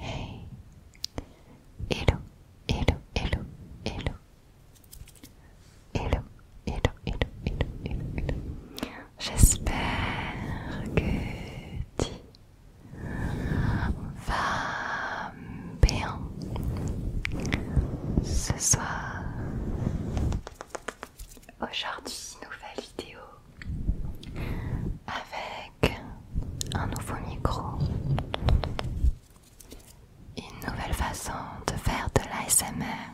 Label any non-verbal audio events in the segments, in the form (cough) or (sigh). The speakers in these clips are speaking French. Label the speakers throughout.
Speaker 1: Hey Hello, hello, hello, hello Hello, hello, hello, hello, hello, hello. J'espère que tu vas bien ce soir Aujourd'hui, nouvelle vidéo avec un nouveau micro, une nouvelle façon de faire de l'ASMR.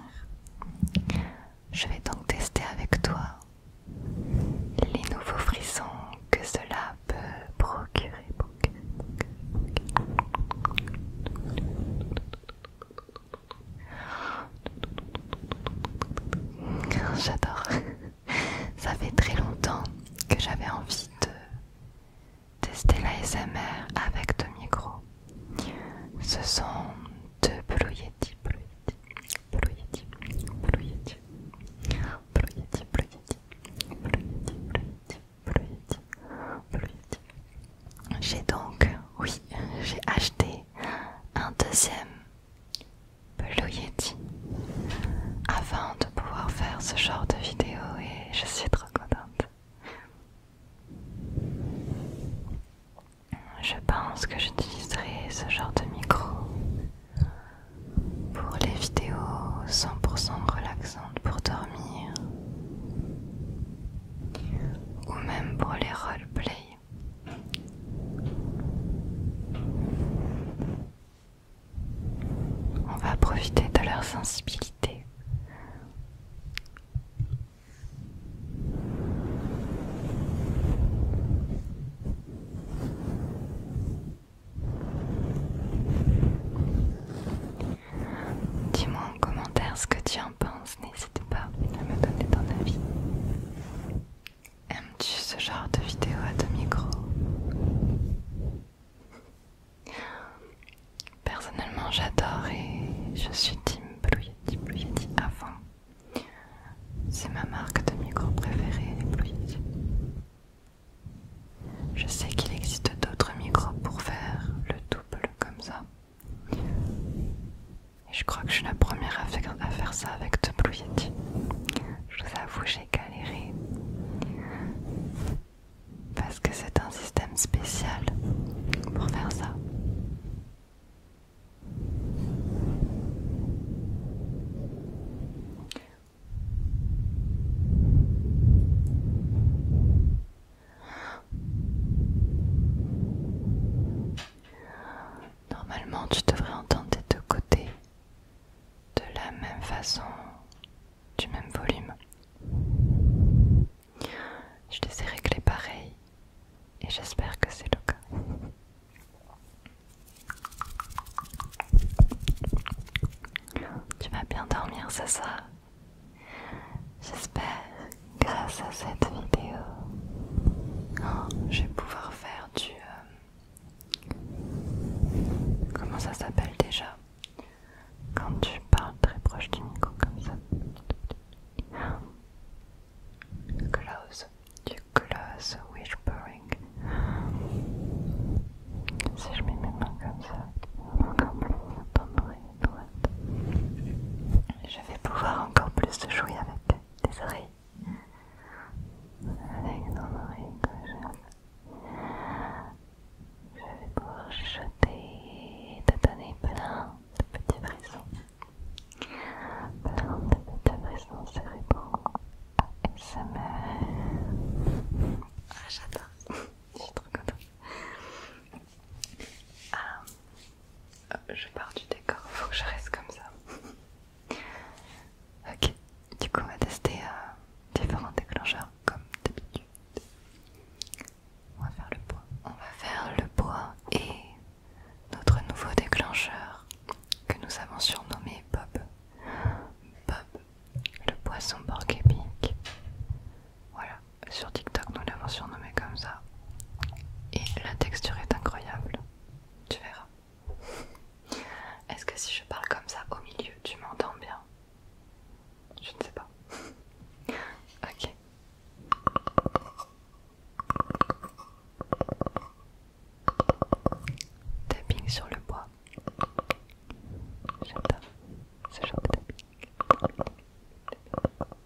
Speaker 1: Je vais donc tester avec toi les nouveaux frissons que cela peut procurer. J'adore. (laughs) Ça fait très longtemps que j'avais envie de tester la SMR avec deux micros. Ce sont deux Blue Yeti, j'ai donc, oui, j'ai acheté un deuxième Blue Yeti avant de pouvoir faire ce genre de vidéo et je suis trop contente. Je pense que j'utiliserai ce genre de micro pour les vidéos 100% relaxantes pour dormir ou même pour les role-play. On va profiter de leur sensibilité. Dis-moi en commentaire ce que tu en penses N'hésitez pas à me donner ton avis. Aimes-tu ce genre de vidéo à deux micros Personnellement, j'adore et je suis Team Blue Yeti, Blue C'est ma marque de micro préférée, Je sais qu'il existe d'autres micros pour faire le double comme ça. Et je crois que je suis la première à faire, ça avec ce Blue Yeti. Je vous avoue, j'ai galéré. Parce que c'est un système spécial pour faire ça. Normalement, tu devrais entendre des deux côtés de la même façon, du même volume. Je les ai réglés pareil et j'espère que c'est le cas. Tu vas bien dormir, ça, ça J'espère, grâce à cette vidéo, oh, je vais pouvoir faire du... Euh, comment ça s'appelle déjà Quand tu parles très proche du micro comme ça. Close, du close whispering. Si je mets mes mains comme ça, encore plus, je vais pouvoir encore plus jouer avec tes oreilles. Avec ton oreille gauche. Je vais pouvoir chuchoter, te donner plein de petits frissons. Plein de petits frissons cérébraux. ASMR. Ah, j'adore. (laughs) Je suis trop contente. Euh, je pars du décor, faut que je reste comme ça. (laughs) ok, du coup on va tester euh, différents déclencheurs comme d'habitude. On va faire le bois. On va faire le bois et notre nouveau déclencheur que nous avons surnommé Bob. Bob, le poisson borgépic. Voilà, sur TikTok, nous l'avons surnommé comme ça. Et la texture est incroyable. Tu verras. Est-ce que si je parle comme ça au milieu, tu m'entends bien Je ne sais pas. (laughs) ok. Tapping sur le bois. J'adore ce genre de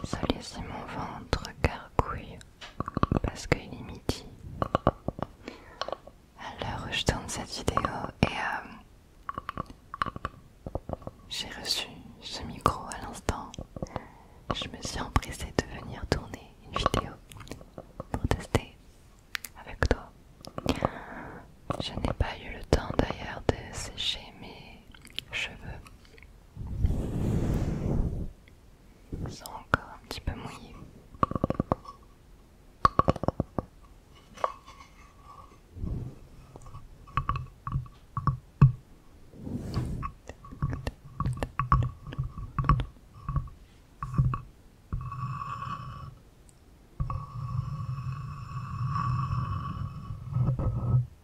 Speaker 1: Vous si mon ventre gargouille parce qu'il est midi. À je tourne cette vidéo et euh, j'ai reçu ce micro à l'instant, je me suis empressée de venir tourner une vidéo pour tester avec toi. Je n'ai pas eu le temps d'ailleurs de sécher mes cheveux sont encore un petit peu mouillés.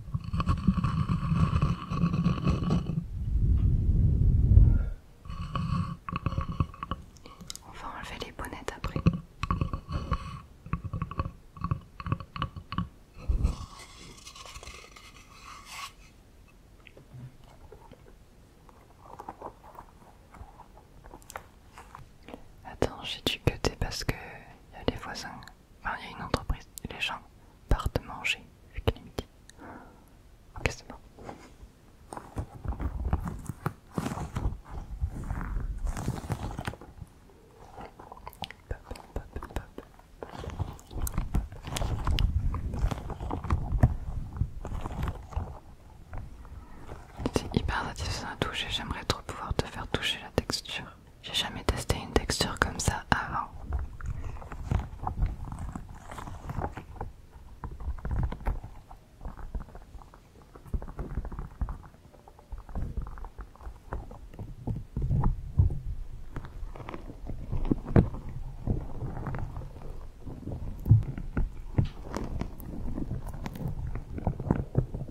Speaker 1: On va enlever les bonnets après. Attends, j'ai dû côté parce que y a les voisins ah, il y a une entreprise. Les gens partent manger vu qu'il est Ok, c'est bon. C'est hyper satisfaisant à toucher, j'aimerais trop pouvoir te faire toucher la texture. J'ai jamais testé une texture comme ça avant.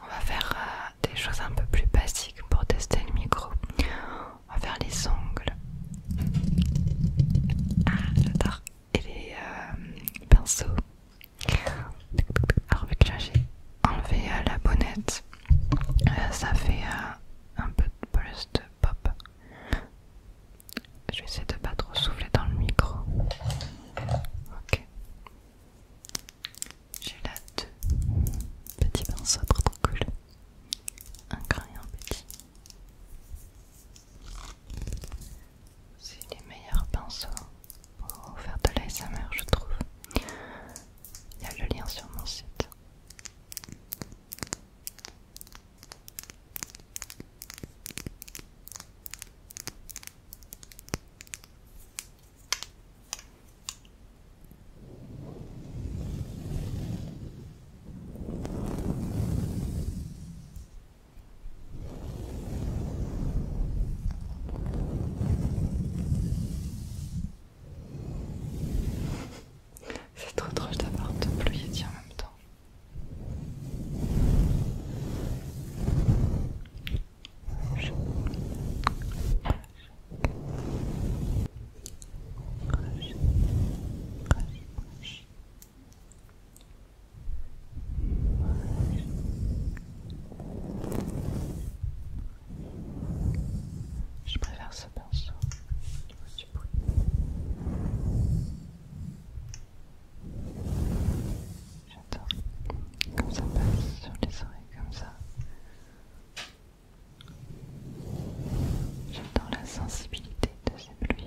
Speaker 1: On va faire euh, des choses un peu plus basiques pour tester le micro. On va faire les ongles. Ah, j'adore et les euh, pinceaux. Alors vu que là j'ai enlevé euh, la bonnette, euh, ça fait un peu de de pop. Je vais essayer de pas trop souffler dans le micro. Ok. J'ai là deux petits pinceaux trop trop cool. Un grand un petit. C'est les meilleurs pinceaux pour faire de l'ASMR, je trouve. Il y a le lien sur mon site. C'est trop drôle d'avoir deux pluie en même temps. Je préfère ce pinceau du bruit. J'adore comme ça passe sur les oreilles comme ça. J'adore la sensibilité de ces pluies.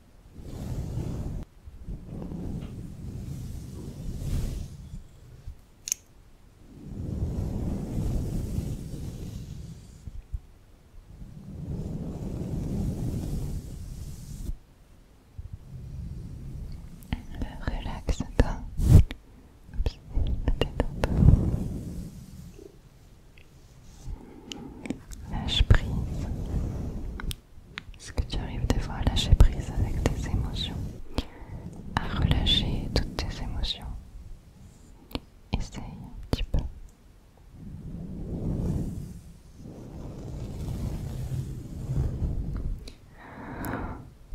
Speaker 1: elle me relaxe un pas lâche prise. Est-ce que tu arrives des fois à lâcher prise avec tes émotions À relâcher toutes tes émotions Essaye un petit peu.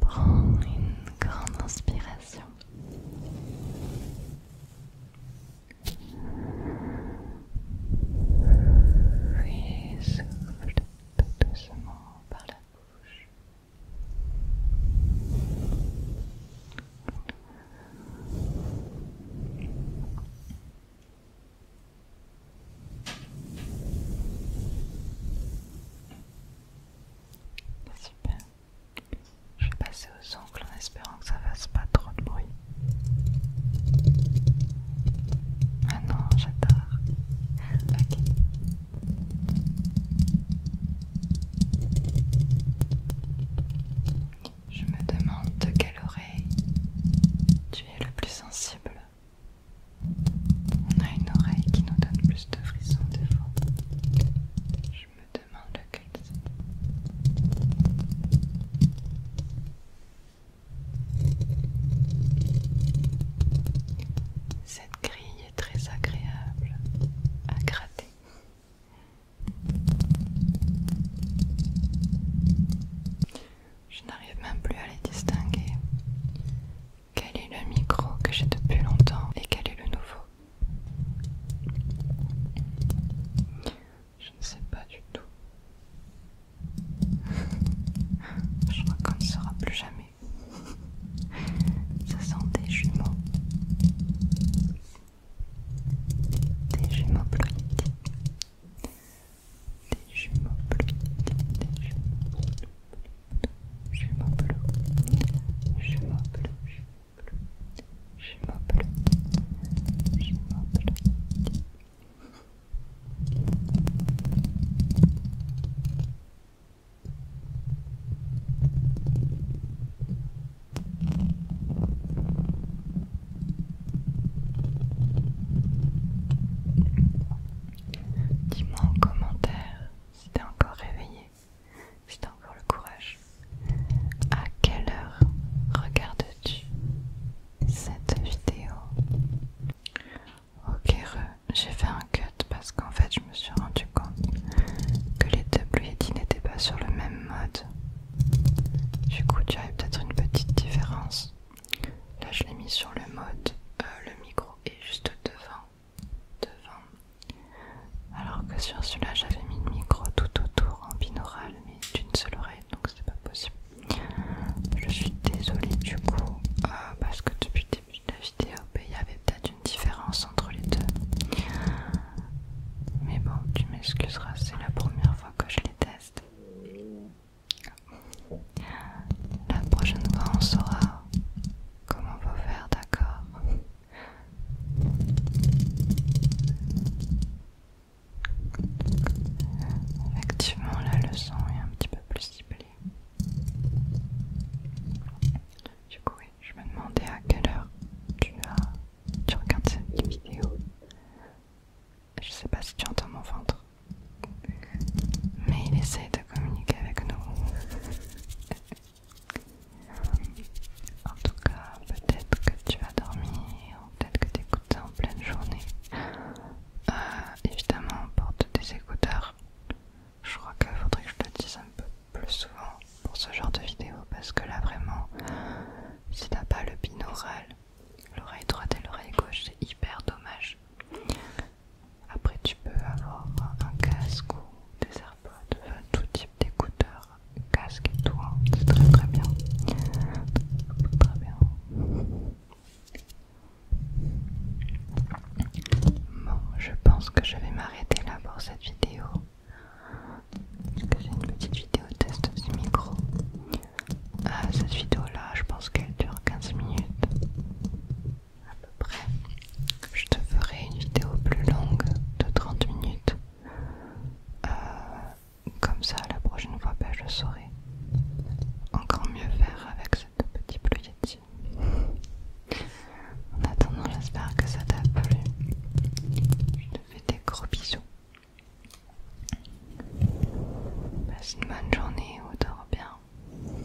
Speaker 1: Prends une grande inspiration. Et souffle tout doucement par la bouche. Super. Je vais passer aux ongles en espérant que ça fasse pas trop de bruit. Ah non, j'adore. Ok. Je me demande de quelle oreille tu es le plus sensible. On a une oreille qui nous donne plus de frissons des fois. Je me demande lequel c'est. Cette grille est très agréable à gratter. Je n'arrive même plus à les distinguer. Quel est le micro que j'ai depuis longtemps et quel est le nouveau je ne sais pas du tout. (laughs) Je crois qu'on ne sera plus jamais. Ce sont des jumeaux. Des jumeaux bleus, Des jumeaux bleus, Des jumeaux Jumeaux bleus. Jumeaux bleus. Jumeaux bleus. Jumeaux bleus. Jumeaux bleus. Dis-moi en commentaire si t'es encore réveillé, si t'as encore le courage. À quelle heure regardes-tu cette vidéo. Ok, j'ai fait un cut parce qu'en fait je me suis rendu compte que les deux Bluetti n'étaient pas sur le même mode. Du coup, tu avais peut-être une petite différence. Là, je l'ai mis sur le mode, euh, le micro est juste devant, devant. Alors que sur celui-là, j'avais mis le micro tout autour en binaural, mais d'une seule oreille, donc c'est pas possible. Je suis désolée du coup euh, parce que depuis le début de la vidéo, ben, il y avait peut-être une différence entre les deux. Mais bon, tu m'excuseras, c'est la première fois que je les teste. La prochaine fois, on saura comment va faire, d'accord Effectivement, la leçon est un petit peu plus ciblée. Du coup, je me demandais à quelle heure tu, regardes cette vidéo. Je sais pas si tu entends mon ventre, mais il essaie de communiquer avec nous. (laughs) en tout cas, peut-être que tu vas dormir, peut-être que tu es en pleine journée. Euh, évidemment, on porte des écouteurs. Je crois qu'il faudrait que je te dise un peu plus souvent pour ce genre de vidéo parce que là, vraiment, si t'as pas le binaural, l'oreille droite et l'oreille gauche, c'est hyper dommage. Après, tu peux avoir un casque ou des AirPods, tout type d'écouteurs casque et tout, hein. c'est très très bien. Très bien. Bon, je pense que je vais m'arrêter là pour cette vidéo. Parce que c'est une petite vidéo test du micro. Euh, cette vidéo là, je pense qu'elle dure 15 minutes à peu près. Je te ferai une vidéo plus longue de 30 minutes. Euh, comme ça, la prochaine fois, ben, je saurai encore mieux faire avec cette petite pluie En attendant, j'espère que ça t'a plu. Je te fais des gros bisous. Passe une bonne journée au dors bien.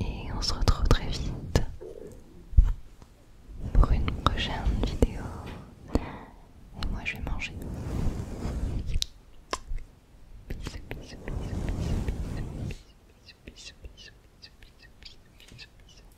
Speaker 1: Et on se retrouve très vite pour une prochaine vidéo. Et moi je vais manger. Bisous, bisous, bisous, bisous, bisous, bisous, bisous, bisous, bisous, bisous, bisous.